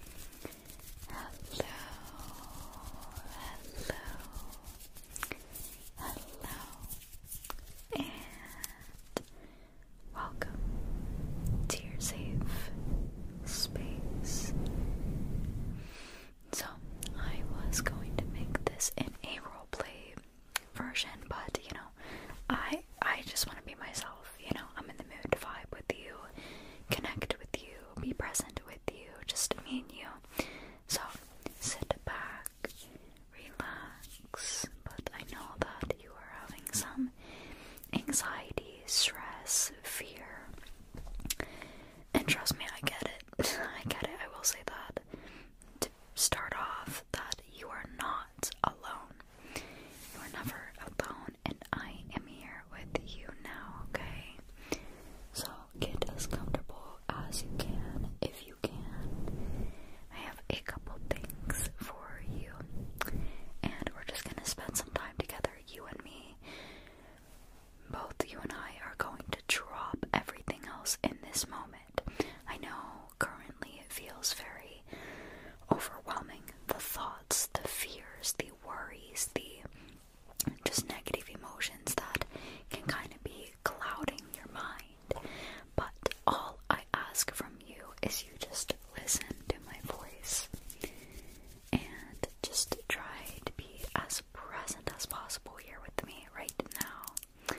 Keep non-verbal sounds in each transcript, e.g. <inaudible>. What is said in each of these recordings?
Hello, hello, hello, and welcome to your safe space. So, I was going to make this in a roleplay version, but you know, I I just want to be myself. You know, I'm in the mood to vibe with you, connect with you, be present with you, just me and you. So sit back, relax. But I know that you are having some anxiety, stress, fear. And trust me, I get it. <laughs> I get it. I will say that. To start off, that you are not alone. You are never alone and I am here with you now, okay? So get as comfortable as you can if you can. I have a couple things for you, and we're just gonna spend some time together, you and me. Both you and I are going to drop everything else in this moment. I know currently it feels very overwhelming the thoughts, the fears, the worries, the just negative emotions that can kind of be clouding your mind. But all I ask from you is you just listen to my voice and just try to be as present as possible here with me right now.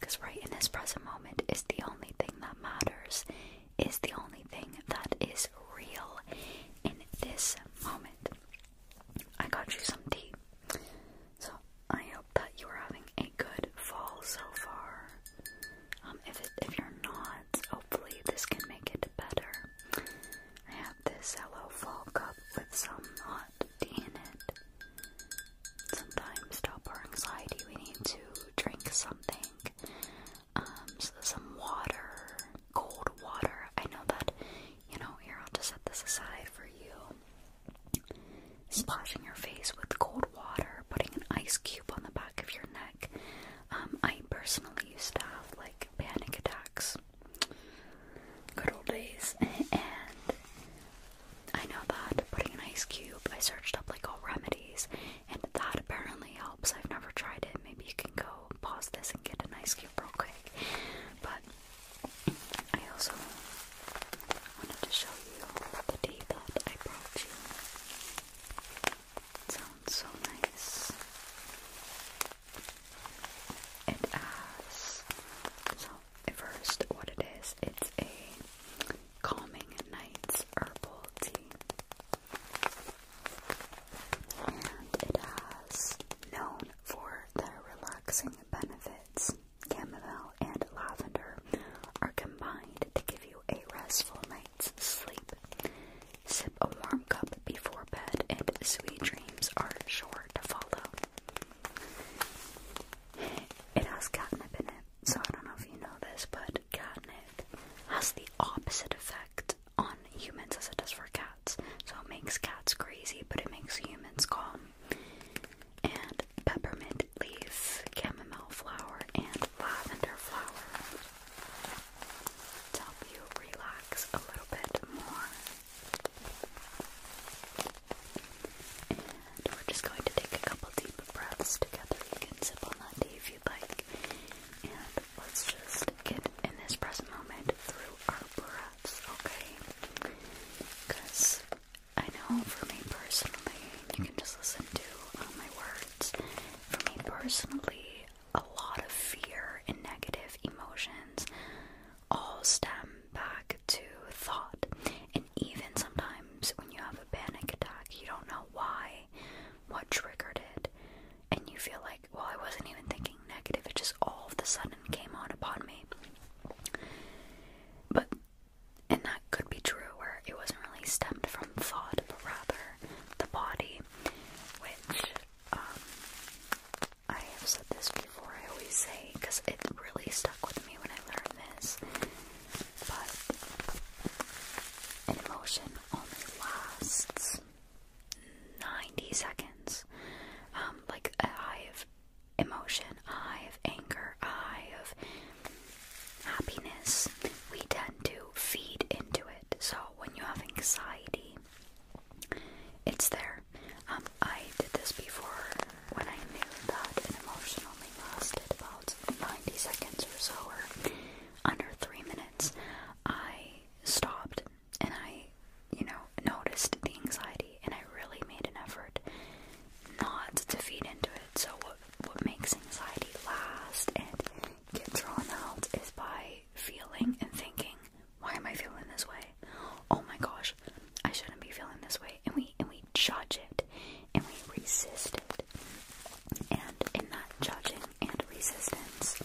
Because right in this present moment is the only thing that matters is the only thing that is real in this moment. I got you some tea. So I hope that you are having a good fall so far. Um, if if you're not, hopefully this can make it better. I have this Hello Fall cup with some hot tea in it. Sometimes, to stop our anxiety, we need to drink something um, so there's some water, cold water. I know that, you know, here I'll just set this aside for you. Splashing your face with cold water, putting an ice cube on the back of your neck. Um, I personally used to have like panic attacks. Good old days. <laughs> and I know that putting an ice cube, I searched up like all remedies, and that apparently helped helps. I've never tried it. Maybe you can go pause this and get an ice cube real quick. But I also wanted to show you the tea that I brought you. It sounds so nice. It has so at first what it is, it's a calming at nights herbal tea. And it has known for their relaxing benefits. Chamomile and lavender are combined to give you a restful night's sleep. Sip a warm cup before bed, and sweet dreams are sure to follow. It has catnip in it, so I don't know if you know this, but catnip has the opposite effect on humans as it does for cats. So it makes cats crazy, but it makes humans calm. And peppermint leaves, chamomile flower, and lavender flower help you relax a little bit more. And we're just going to take a couple deep breaths together. You can sip on that tea if you'd like. And let's just get in this present moment through our breaths, okay? Because I know for me personally, you can just listen to uh, my words. For me personally, a lot of fear and negative emotions all stem back to thought. And even sometimes when you have a panic attack, you don't know why, what triggered it, and you feel like, well, I wasn't even thinking negative, it just all of a sudden came on upon me. But, and that could be true, where it wasn't really stemmed from thought, but rather the body, which, um, I have said this before, I always say, because it really stuck with me when I learned this. But Emotion only lasts 90 seconds. Um, like a high of emotion, a high of anger, a high of happiness. We tend to feed into it. So when you have anxiety, it's there. Um, I did this before when I knew that an emotion only lasted about 90 seconds or so, or under three minutes. I stopped and I, you know, noticed the anxiety and I really made an effort not to feed into it. So what what makes anxiety last and get drawn out is by feeling and thinking, why am I feeling this way? Oh my gosh, I shouldn't be feeling this way. And we and we judge it and we resist it and in that judging and resistance,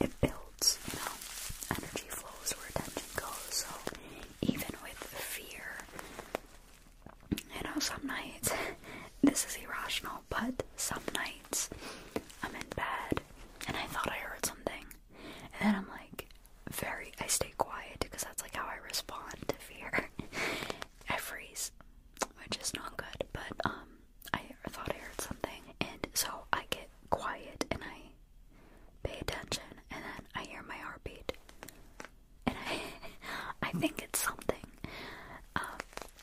it builds, you know, energy flows where attention goes. So even with fear, you know, some nights, <laughs> this is irrational, but some nights I'm in bed and I thought I heard something. And then I'm like, very, I stay quiet because that's like how I respond to fear. <laughs> I freeze, which is not good, but, um, I thought I heard something, and so I get quiet and I pay attention, and then I hear my heartbeat, and I <laughs> I think it's something. Um,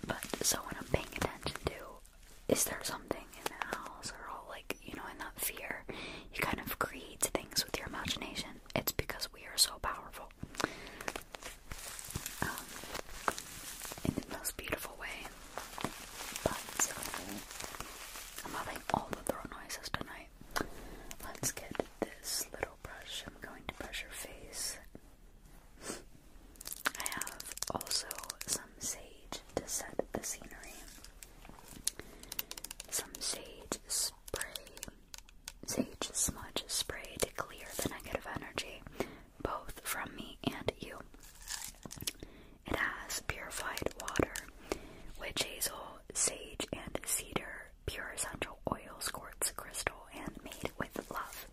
but so when I'm paying attention to, is there something in the house or all like you know in that fear, you kind of create things with your imagination. It's because we are so powerful. Um, in the most beautiful way. But I'm having all the throat noises tonight. Let's get this little brush. I'm going to brush your face. I have also some sage to set the scenery. Some sage spray, sage smudge spray to clear the negative energy both from me and you. It has purified water, witch hazel, sage, and cedar, pure essential oils, quartz crystal, and made with love.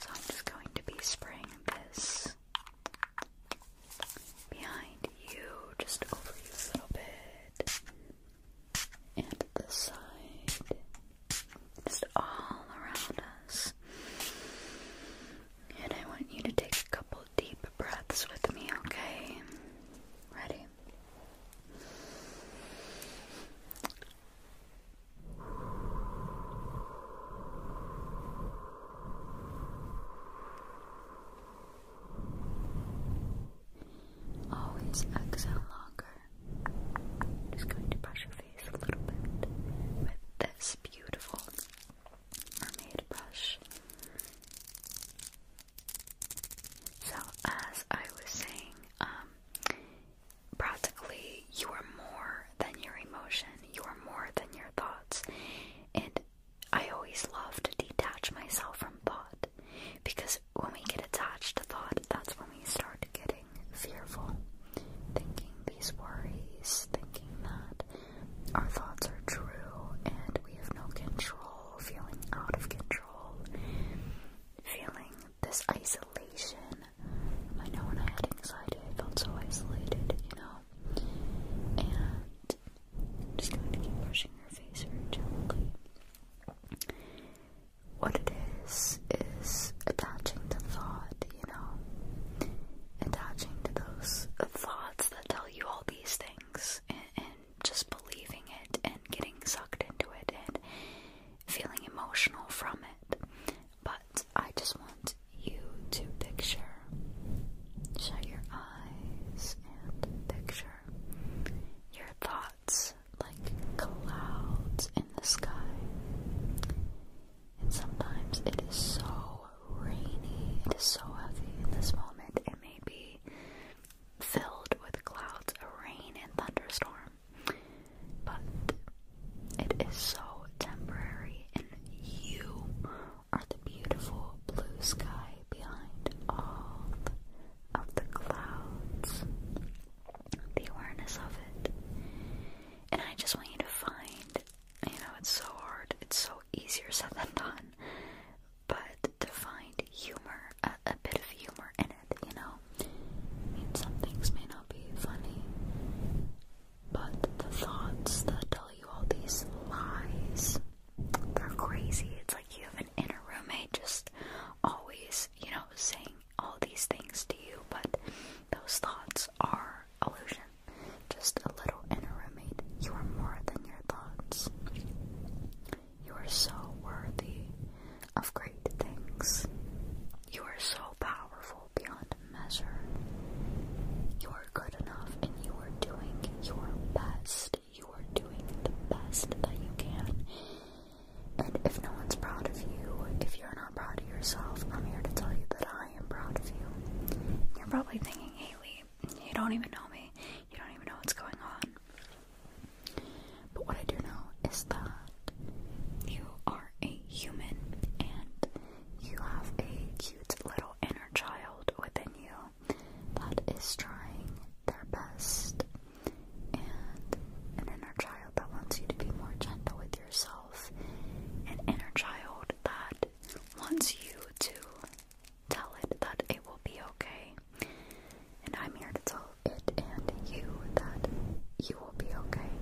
So I'm just going to be spraying this behind you, just over you a little bit and the side, just all around us. And I want you to take a couple deep breaths with me, okay? Ready? Always exhale longer just going to brush your face a little bit with this beautiful mermaid brush. So, as I was saying, um, practically you are more than your emotion, you are more than your thoughts. And I always love to detach myself from thought because when we get attached to thought, that's when we start getting fearful, thinking these worries, thinking that our thoughts are true and we have no control, feeling out of control, feeling this isolation. I know when I had anxiety, I felt so isolated, you know? And just going to keep brushing her face very gently what it is is attaching the thought, you know, attaching to those thoughts that tell you all these things, and, and just believing it and getting sucked into it and feeling emotional from it. But I just want you to picture, shut your eyes and picture your thoughts dots like clouds in the sky. And sometimes it is so rainy, it is so heavy in this moment, it may be filled with clouds of rain and thunderstorm. But it is so temporary, and you are the beautiful blue sky behind all of the clouds, the awareness of it. And I just want you to find, you know, it's so hard, it's so easier said than done, but to find humor, a, bit of humor in it, you know? some things may not be funny, but the thoughts that tell you all these lies, they're crazy. It's like you have an inner roommate just always, you know, saying all these things to you, but those thoughts are illusion. Just a little inner roommate. You are more than your thoughts. You are so worthy of great things. You are so powerful beyond measure. You are good enough and you are doing your best. You are doing the best that you can. And if no one's proud of you, if you're not proud of yourself, I'm here to tell you that I am proud of you. You're probably thinking, Haley, you don't even know me. You don't even know what's going on. But what I do know is that you are a human and you have a cute little inner child within you that is trying their best, and an inner child that wants you to be more gentle with yourself, an inner child that wants you to tell it that it will be okay. And I'm here to tell it and you that you will be okay.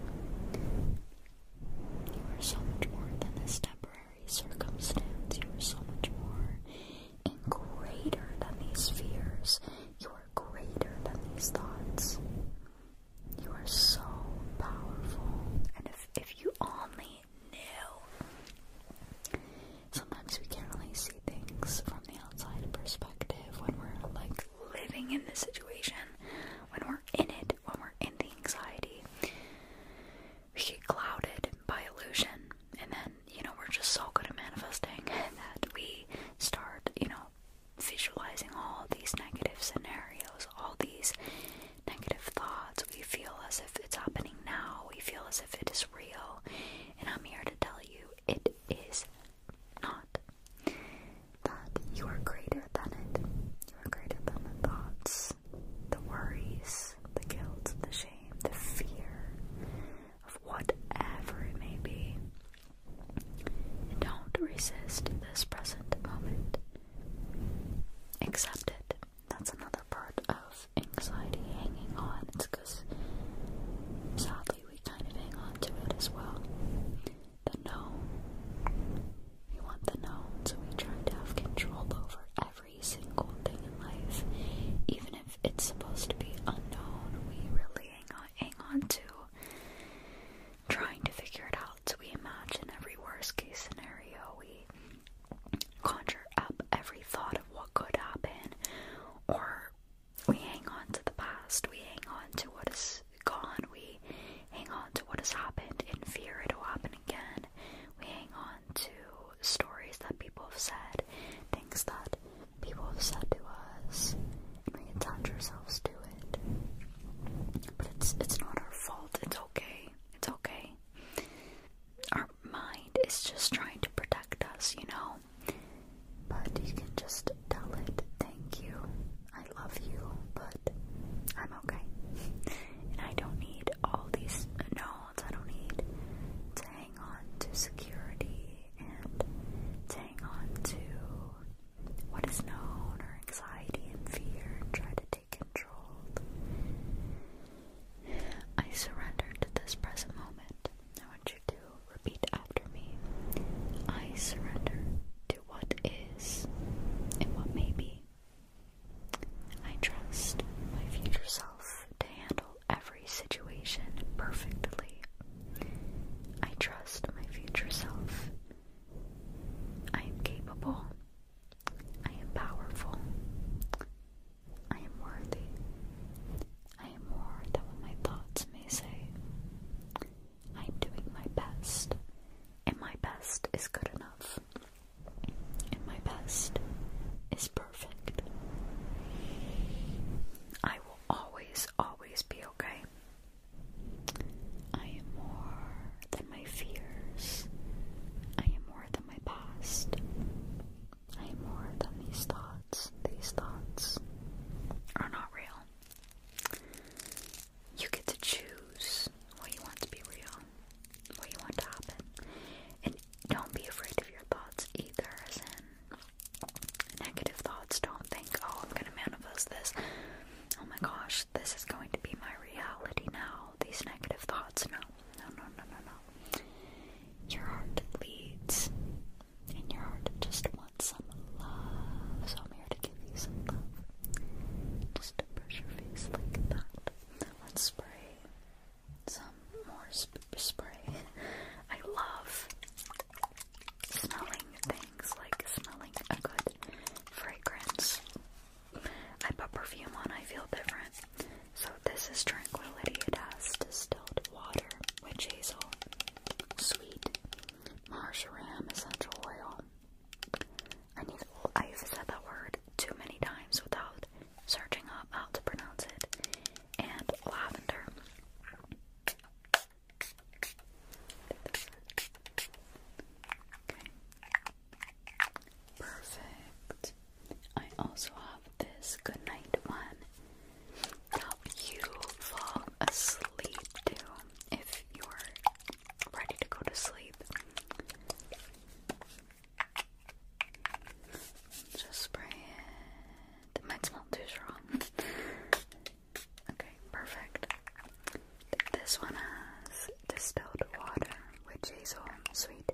You are so much more than this temporary circumstance. You are so much more and greater than these fears. You greater than these thoughts. You are so powerful. And if, if you only knew, sometimes we can't really see things from the outside perspective when we're like living in the situation, when we're in it, when we're in the anxiety. We get clouded by illusion, and then you know, we're just so good at manifesting <laughs> that we start, you know, visualizing all these negative scenarios, all these negative thoughts. We feel as if it's happening now, we feel as if it is real. And I'm here to tell you it is not. That you are greater than it. You are greater than the thoughts, the worries, the guilt, the shame, the fear of whatever it may be. And don't resist this present moment. Accept it. That's another part of anxiety hanging on. It's because sadly we kind of hang on to it as well. The known. We want the known, so we try to have control over every single thing in life. Even if it's supposed to be unknown, we really hang on hang on to trying to figure it out. We imagine every worst case scenario. We conjure up every thought of what could happen, or we hang on to the past. We hang on to what is gone. We hang on to what has happened in fear it'll happen again. We hang on to stories that people have said, things that people have said to us, and we attach ourselves to it. But it's it's not our fault. It's okay. It's okay. Our mind is just trying to protect us, you know. But you can just tell it, thank you, I love you, but I'm okay. And I don't need all these knowns, I don't need to hang on to security and hang on to what is known or anxiety and fear try to take control. I surrender to this present moment. I want you to repeat after me. I surrender to what is and what may be. I trust my future self to handle every situation perfectly. I trust my future self. I am capable. I am powerful. I am worthy. I am more than what my thoughts may say. I am doing my best, and my best is good enough. And my best is perfect. I always, always be okay. I am more than my fears. I am more than my past. I am more than these thoughts. These thoughts are not real. You get to choose what you want to be real, what you want to happen. And don't be afraid of your thoughts either, as in negative thoughts. Don't think, oh, I'm gonna manifest this. Oh my gosh, this is going to be my reality now. These negative thoughts. No, no, no, no, no, no. Your heart leads, and your heart just wants some love. So I'm here to give you some love. Just to brush your face like that. Let's spray some more sp spray. <laughs> I love smelling things, like smelling a good fragrance. I put perfume on, I feel different. So this is Tranquility. It has distilled water, witch hazel, sweet, marjoram essential oil. I need. I've said that word too many times without searching up how to pronounce it. And lavender. Perfect. I also have this good night one to help you fall asleep too if you're ready to go to sleep. Just spray it. It might smell too strong. <laughs> okay, perfect. This one has distilled water with hazel, sweet,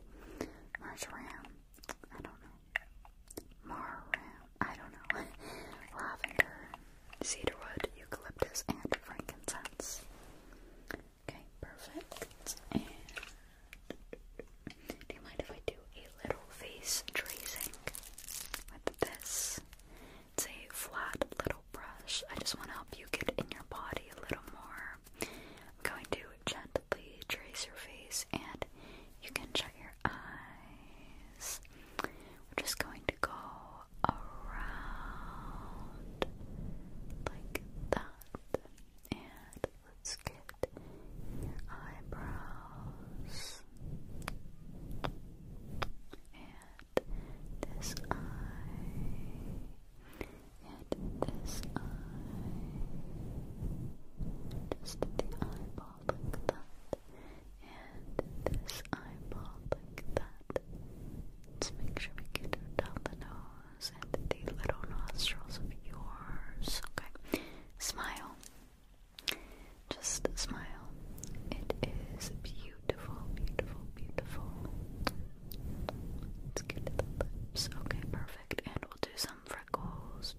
marjoram, I don't know, marram, I don't know, <laughs> lavender, cedarwood, eucalyptus, and frankincense. Okay, perfect. Do you mind if I do a little face tracing with this? It's a flat little brush. I just want to help you get in your body a little more. I'm going to gently trace your face, and you can shut your eyes. We're just going to go around like that and let's get your eyebrows and this eye and this eye just the eyeball like that and this eyeball like that let's make sure we get down the nose and the little nostrils of yours okay smile just a smile. It is beautiful, beautiful, beautiful. Let's get the lips. Okay, perfect. And we'll do some freckles.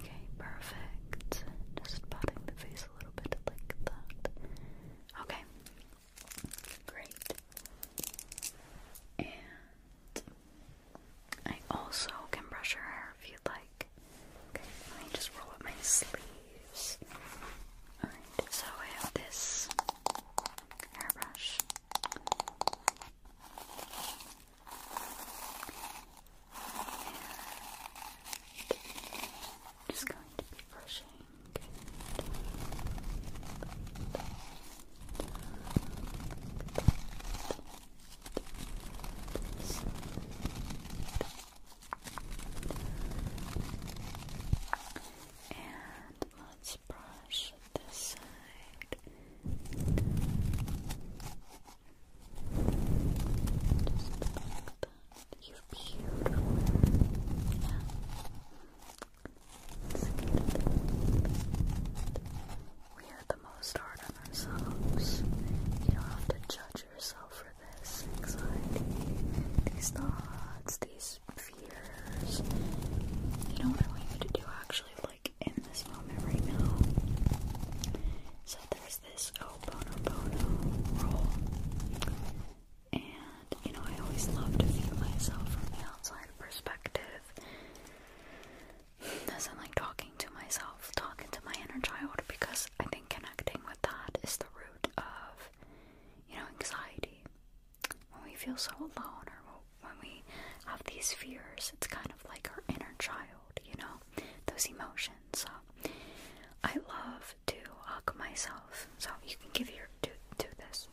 Okay, perfect. Just patting the face a little bit like that. Okay, great. And I also can brush your hair if you'd like. Okay, let me just roll up my sleeves. Alright, so I have this hairbrush. just going to be brushing. And let's brush this side. Just like that. You're beautiful. Yeah we are the most hard on ourselves. You don't have to judge yourself for this anxiety, these thoughts, these fears. You don't really need to do actually like in this moment right now. So there's this Ho'oponopono roll. And, you know, I always love to view myself from the outside perspective as I'm like talking to myself, talking to my inner child, because I think connecting with that is the root of, you know, anxiety. When we feel so alone or when we have these fears, it's kind of like our inner child, you know, those emotions. So I love to hug myself. So you can give your do do this.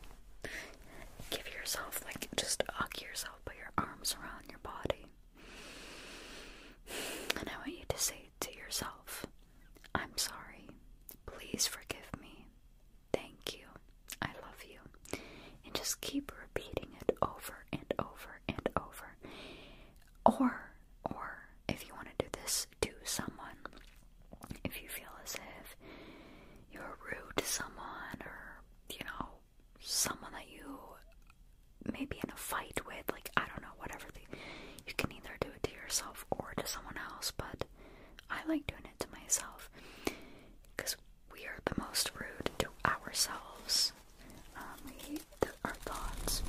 Give yourself like just hug yourself, put your arms around your body. And I want you to say to yourself, I'm sorry. Please forgive me. Thank you. I love you. And just keep repeating it over and over and over. Or, or if you want to do this to someone, if you feel as if you're rude to someone or, you know, someone that you may be in a fight with, like I don't know, whatever you can either do it to yourself or to someone else, but I like doing it to myself because we are the most rude to ourselves. Um, we our thoughts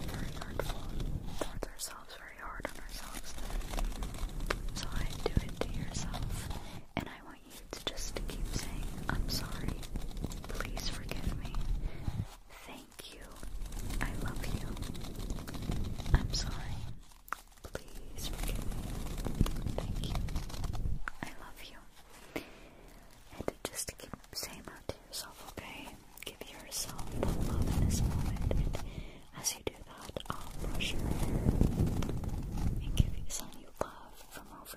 very hurtful towards ourselves, very hard on ourselves. So I do it to yourself, and I it's just to keep saying, I'm sorry, please forgive me, thank you, I love you, I'm sorry, please forgive me, thank you, I love you. And just keep saying that to yourself, okay? Give yourself the love in this moment. And as you do that, I'll brush your hair and give you some you love from over.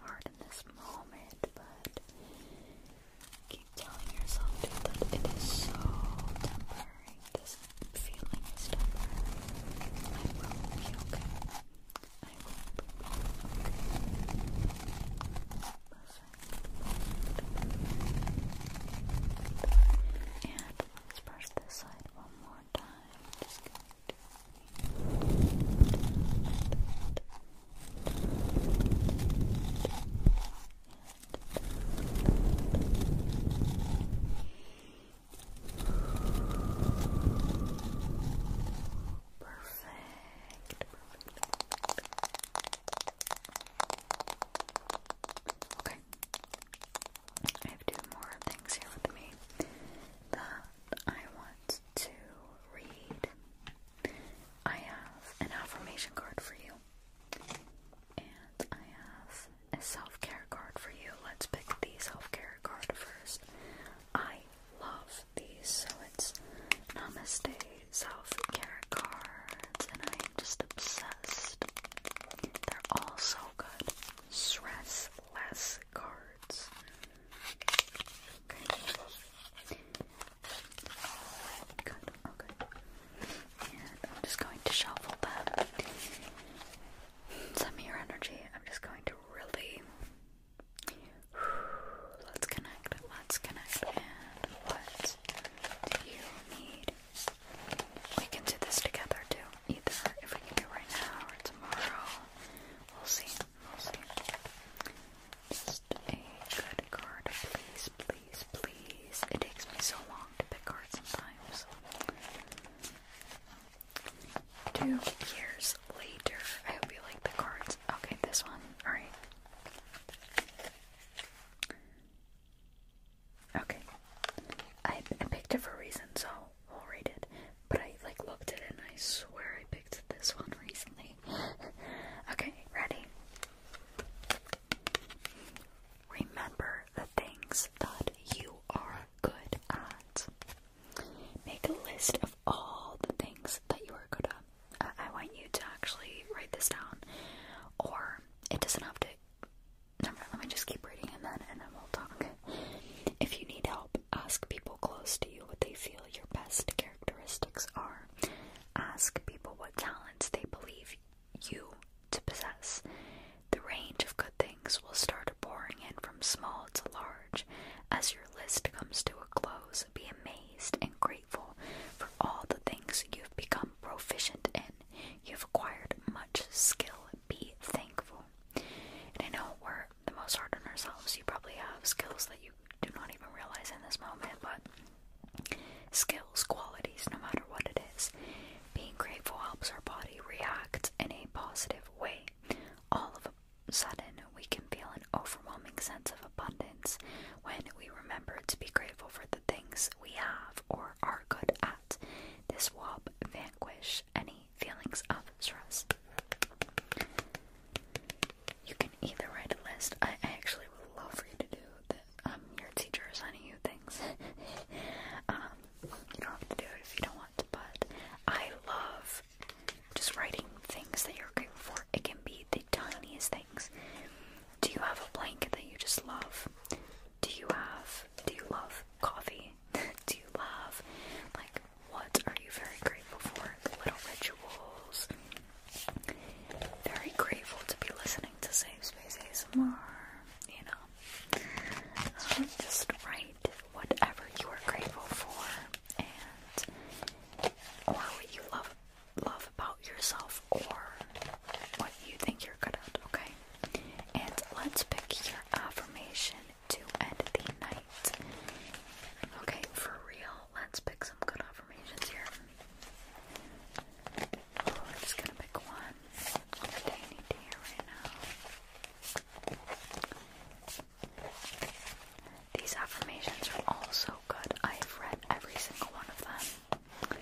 hard in this moment, but keep telling yourself that it is so temporary. This feeling is temporary. I will be okay. I will be okay. And let's brush this side one more time. Perfect. Perfect. Okay. I have two more things here with me. I want to read, I have an affirmation card for you, and I have a self care card for you. Let's pick the self care card first. I love these, so it's Namaste self care cards, and I am just obsessed. They're all so good. Stress less cards. Okay. Okay. And I'm just going to shuffle them. Send me your energy. I'm just going to really. Let's connect. Let's connect. And what you need? We can do this together too. Either if we can do it right now or tomorrow. We'll see. We'll see. Just a good card, please, please, please. It takes me so long to pick cards sometimes. Two years later. I hope you like the cards. Okay, this one. Alright. Okay. I, I picked it for a reason, so I'll, read it. But I like looked it and I swear I picked this one recently. <laughs> okay, ready? Remember the things that you are good at. Make a list of all the things that you are good at. I, want you to actually write this down, or it doesn't have to. Never let me just keep reading and then and then will talk. If you need help, Ask people close to you what they feel your best characteristics are. Ask people what talents they believe you to possess. The range of good things will start pouring in from small to large. As your list comes to a close, be amazed and grateful for all the things you've become proficient in. You've acquired much skill. Be thankful. And I know it works the most hard on ourselves. You probably have skills that you do not even realize in this moment, but skills, qualities, no matter what it is, being grateful helps our body react in a positive way. All of a sudden, we can feel an overwhelming sense of abundance when we remember to be grateful for the things we have or are good at. This will help vanquish any feelings of stress. You can either write a list. I actually would love for you to do the um, your teacher assigning you things. <laughs> Um, you don't have to do it if you don't want to, but I love just writing things that you're grateful for. It can be the tiniest things. Do you have a blanket that you just love? Do you have do you love coffee? do you love? Like, what are you very grateful for? Little rituals. Very grateful to be listening to Save Space ASMR. You know, um, just write whatever you are grateful for, and or what you love love about yourself, or what you think you're good at. Okay, and let's pick your affirmation to end the night. Okay, for real, let's pick some good affirmations here. Oh, I'm just gonna pick one I need to hear right now. These affirmations are all so good. I have read every single one of them. Okay.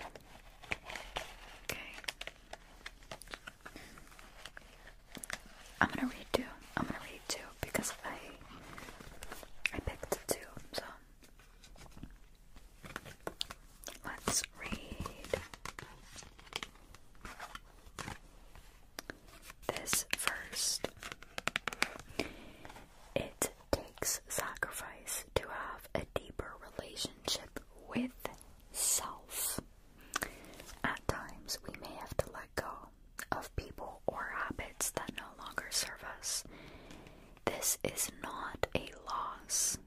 I'm gonna read two. I'm gonna read two because I I picked two, so let's read this first. It takes sacrifice to have a deeper relationship with self. At times, we may have to let go of people or habits that no longer serve us. This is not a loss,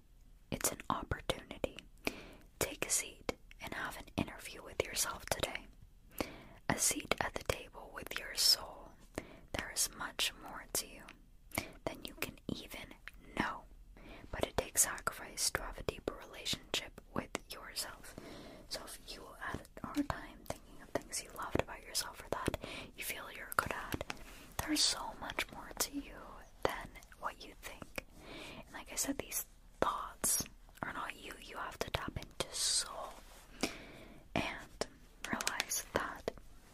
it's an opportunity. Take a seat and have an interview with yourself today. A seat at the table with your soul. There is much more to you than you can even know, but it takes sacrifice to have a deeper relationship with yourself. So if you had a hard time thinking of things you loved about yourself or that you feel you're good at, there's so much more to you than what you think. like I said, these thoughts are not you. You have to tap into soul and realize that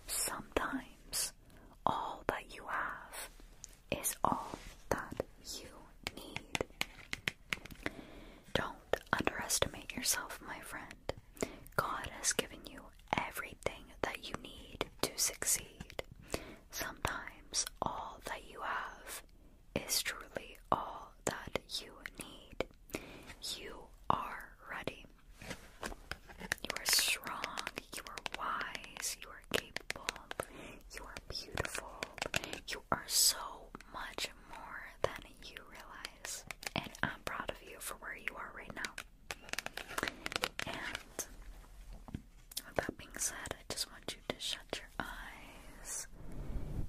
sometimes all that you have is all that you need. Don't underestimate yourself, my friend. God has given you everything that you need to succeed. Sometimes all that you have is truly all that you need. You are ready. You are strong, you are wise, you are are capable, you are beautiful, you are so much more than you realize. And I'm proud of you for where you are right now. And that being said, I just want you to shut your eyes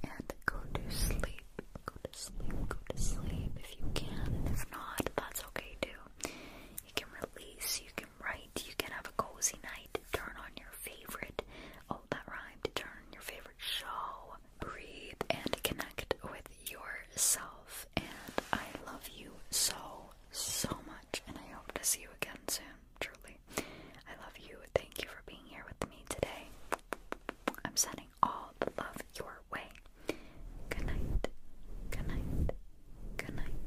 and go to sleep. Go to sleep, go to sleep if you can. If not, that's okay too. You can release, you can Right, You can have a cozy night. Turn on your favorite. Oh, that rhymed. Turn on your favorite show. Breathe and connect with yourself. And I love you so, so much. And I hope to see you again soon. Truly. I love you. Thank you for being here with me today. I'm sending all the love your way. Good night. Good night. Good night.